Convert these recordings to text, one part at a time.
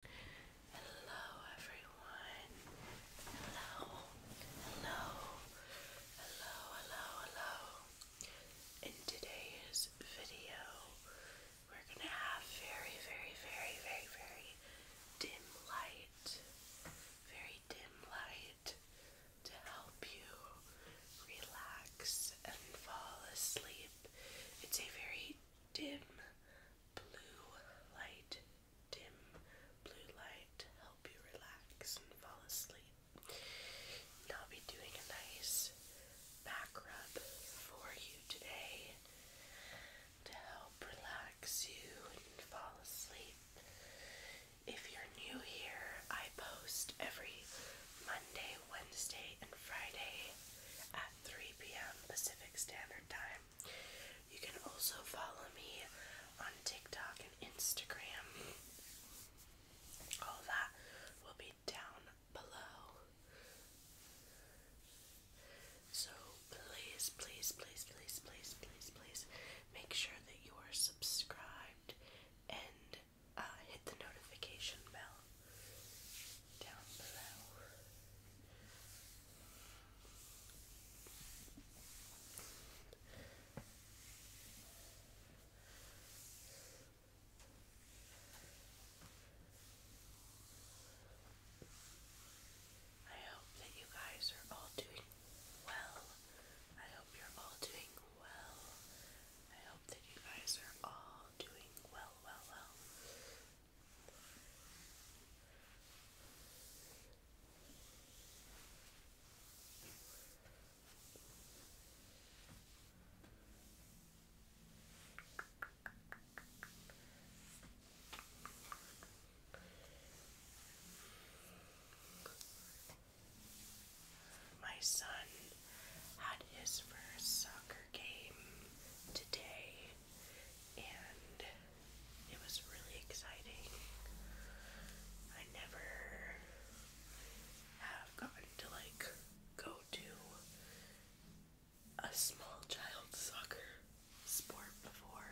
Hello everyone. Hello. Hello. Hello, hello, hello. In today's video, we're going to have very, very, very, very, very dim light. Very dim light to help you relax and fall asleep. It's a very dim blue light, dim blue light, help you relax and fall asleep. And I'll be doing a nice back rub for you today to help relax you and fall asleep. If you're new here, I post every Monday, Wednesday, and Friday 3 p.m. Pacific Standard Time. You can also follow me on TikTok and Instagram. All that will be down below. So please, please, please, please, please, please, please make sure that you are subscribed and uh, hit the notification bell down I hope that you guys are all doing well. I hope you're all doing well. I hope that you guys are all doing well, well, well. My son had his first soccer game today, and it was really exciting. I never have gotten to like go to a small child soccer sport before,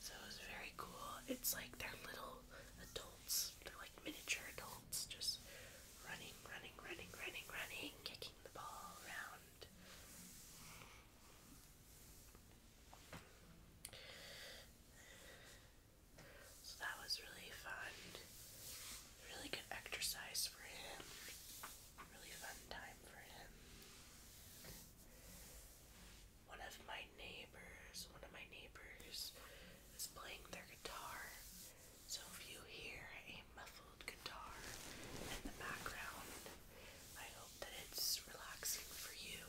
so it was very cool. It's like they're little adults, they're like miniature adults just running, running, running, running, running, kicking the ball around. So that was really fun. Really good exercise for him. Really fun time for him. One of my neighbors, one of my neighbors is playing their guitar. So if you hear a muffled guitar in the background, I hope that it's relaxing for you.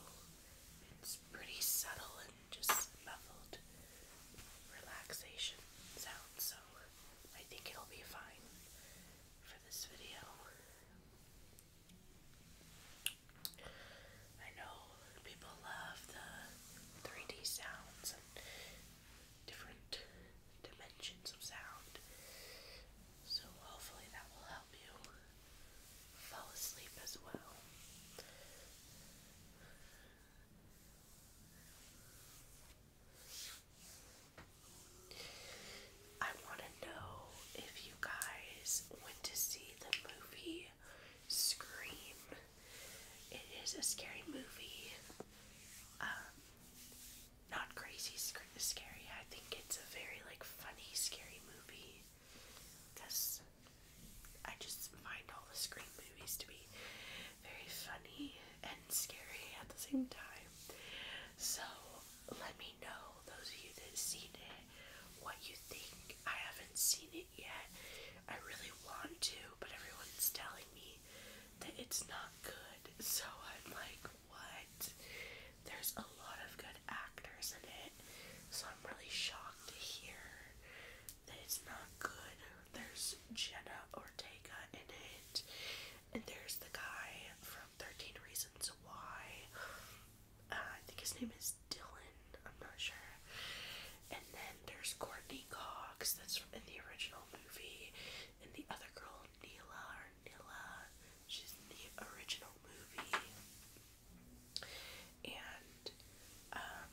It's pretty subtle and just muffled relaxation sound, so I think it'll be fine for this video. I know people love the 3D sounds and different dimensions of sound. So hopefully that will help you fall asleep as well. I want to know if you guys went to see the movie Scream. It is a scary movie. Um, not crazy sc scary. I think it's a very like funny scary movie. That's I just find all the Scream movies to be very funny and scary at the same time. So let me know those of you that seen it what you think. I haven't seen it yet. I really want to, but everyone's telling me that it's not good. So I'm like, what? There's a lot of good actors in it. So I'm really shocked to hear that it's not good. There's Jenna Ortega in it. And there's the guy from 13 Reasons Why. Uh, I think his name is Dylan, I'm not sure. And then there's Courtney Cox, that's from in the original movie. And the other girl, Neela or Nila, she's the original movie. And um,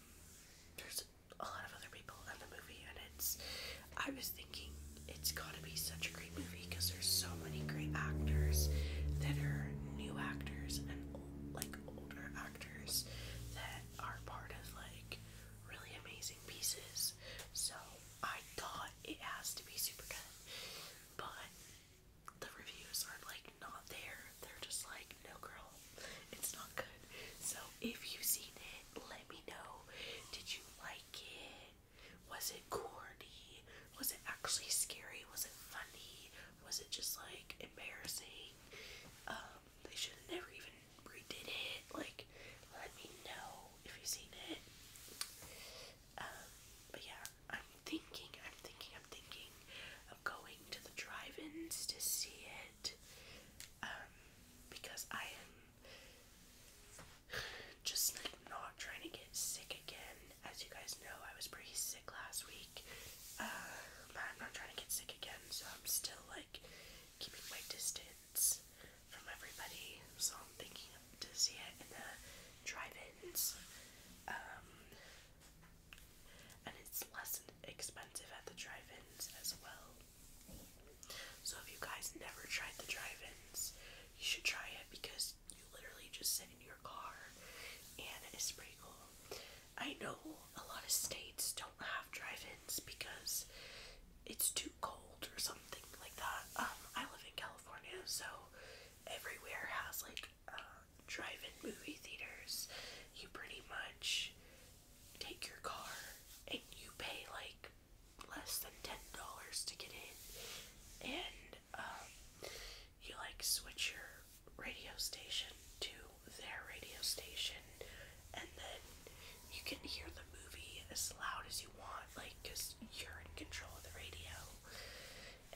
there's a lot of other people in the movie, and it's. I was thinking it's to be such a great movie because there's so many great actors that are new actors and old, like older actors that are part of like really amazing pieces. So I thought it has to be super good, but the reviews are like not there. They're just like, no girl, it's not good. So if you've seen it, let me know. Did you like it? was it corny? Was it actually scary? Was it funny? Was it just like embarrassing? Um, they should never even redid it. Like, let me know if you've seen it. Um, but yeah, I'm thinking, I'm thinking, I'm thinking of going to the drive-ins to see it. Um, because I am just like not trying to get sick again. As you guys know, I was pretty sick last week. Uh, but I'm not trying to get sick again, so I'm still like keeping my distance from everybody. So I'm thinking to see it in the drive-ins. Um, and it's less expensive at the drive-ins as well. So if you guys never tried the drive-ins, you should try it because literally just sit in your car, and it's pretty cool. I know a lot of states don't have drive-ins because it's too cold or something like that. Um, I live in California, so everywhere has like uh, drive-in movie theaters. You pretty much take your car and you pay like less than ten dollars to get in, and um, you like switch your radio station to their radio station, and then you can hear the movie as loud as you want, like because you're in control of the radio,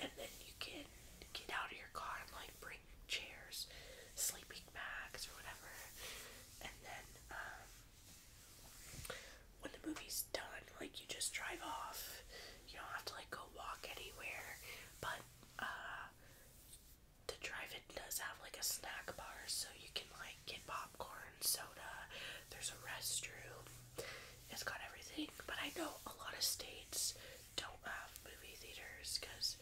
and then you can get out of your car and like bring chairs, sleeping bags, or whatever, and then um, when the movie's done, like you just drive off. You don't have to like go walk anywhere. But uh the drive-in does have like a snack bar so you can like get popcorn, soda, there's a restroom. It's got everything, but I know a lot of states don't have movie theaters because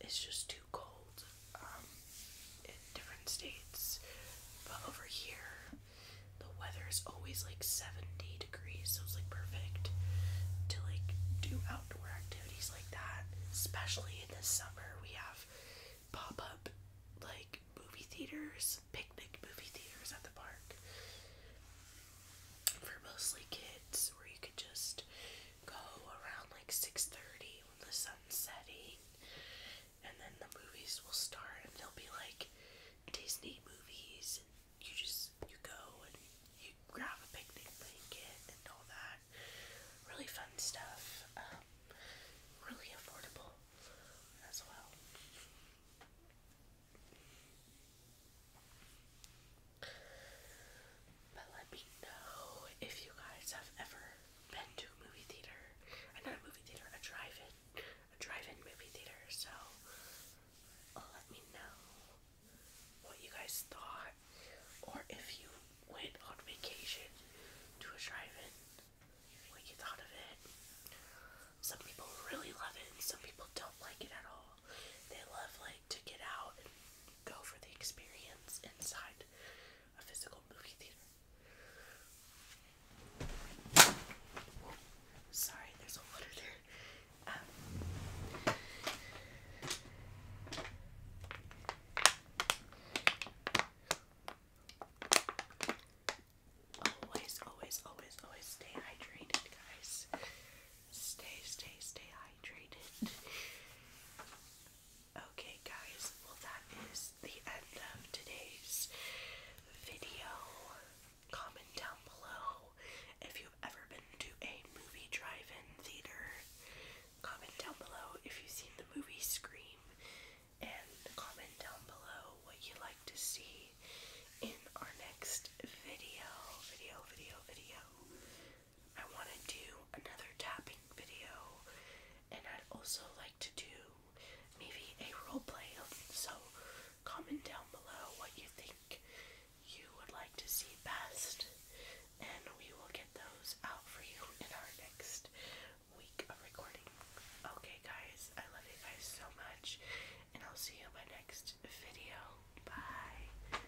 it's just too cold. Um, in different states. But over here, the weather is always like 70 degrees, so it's like perfect to like do outdoor activities like that. Especially in the summer, we have pop up like movie theaters, picnic movie theaters at the park for mostly kids, where you could just go around like 6:30 when the sun's setting and then the movies will start and they'll be like Disney movies and you just you go and you grab a picnic blanket and all that. Really fun stuff. Um, really affordable as well. But let me know if you guys have ever been to a movie theater, uh, not a movie theater, a drive-in, a drive-in movie theater. So uh, let me know what you guys thought, or if you went on vacation to a drive-in, what you thought of it. Some people really love it, and some people don't like it at all. They love like to get out and go for the experience inside a physical movie theater. Sorry, there's water there. Um, always, always, always, always stay hydrated, guys. Stay, stay, stay hydrated. Okay, guys, well, that is the end of today's video. Comment down below if you've ever been to a movie drive in theater. Comment down below if you've seen the movie Scream. And comment down below what you'd like to see in our next video. Video, video, video. I want to do another tapping video, and I'd also like to do maybe a role play. So, comment down below what you think you would like to see best, and we will get those out for you in our next week of recording. Okay, guys, I love you guys so much, and I'll see you in my next video. Bye.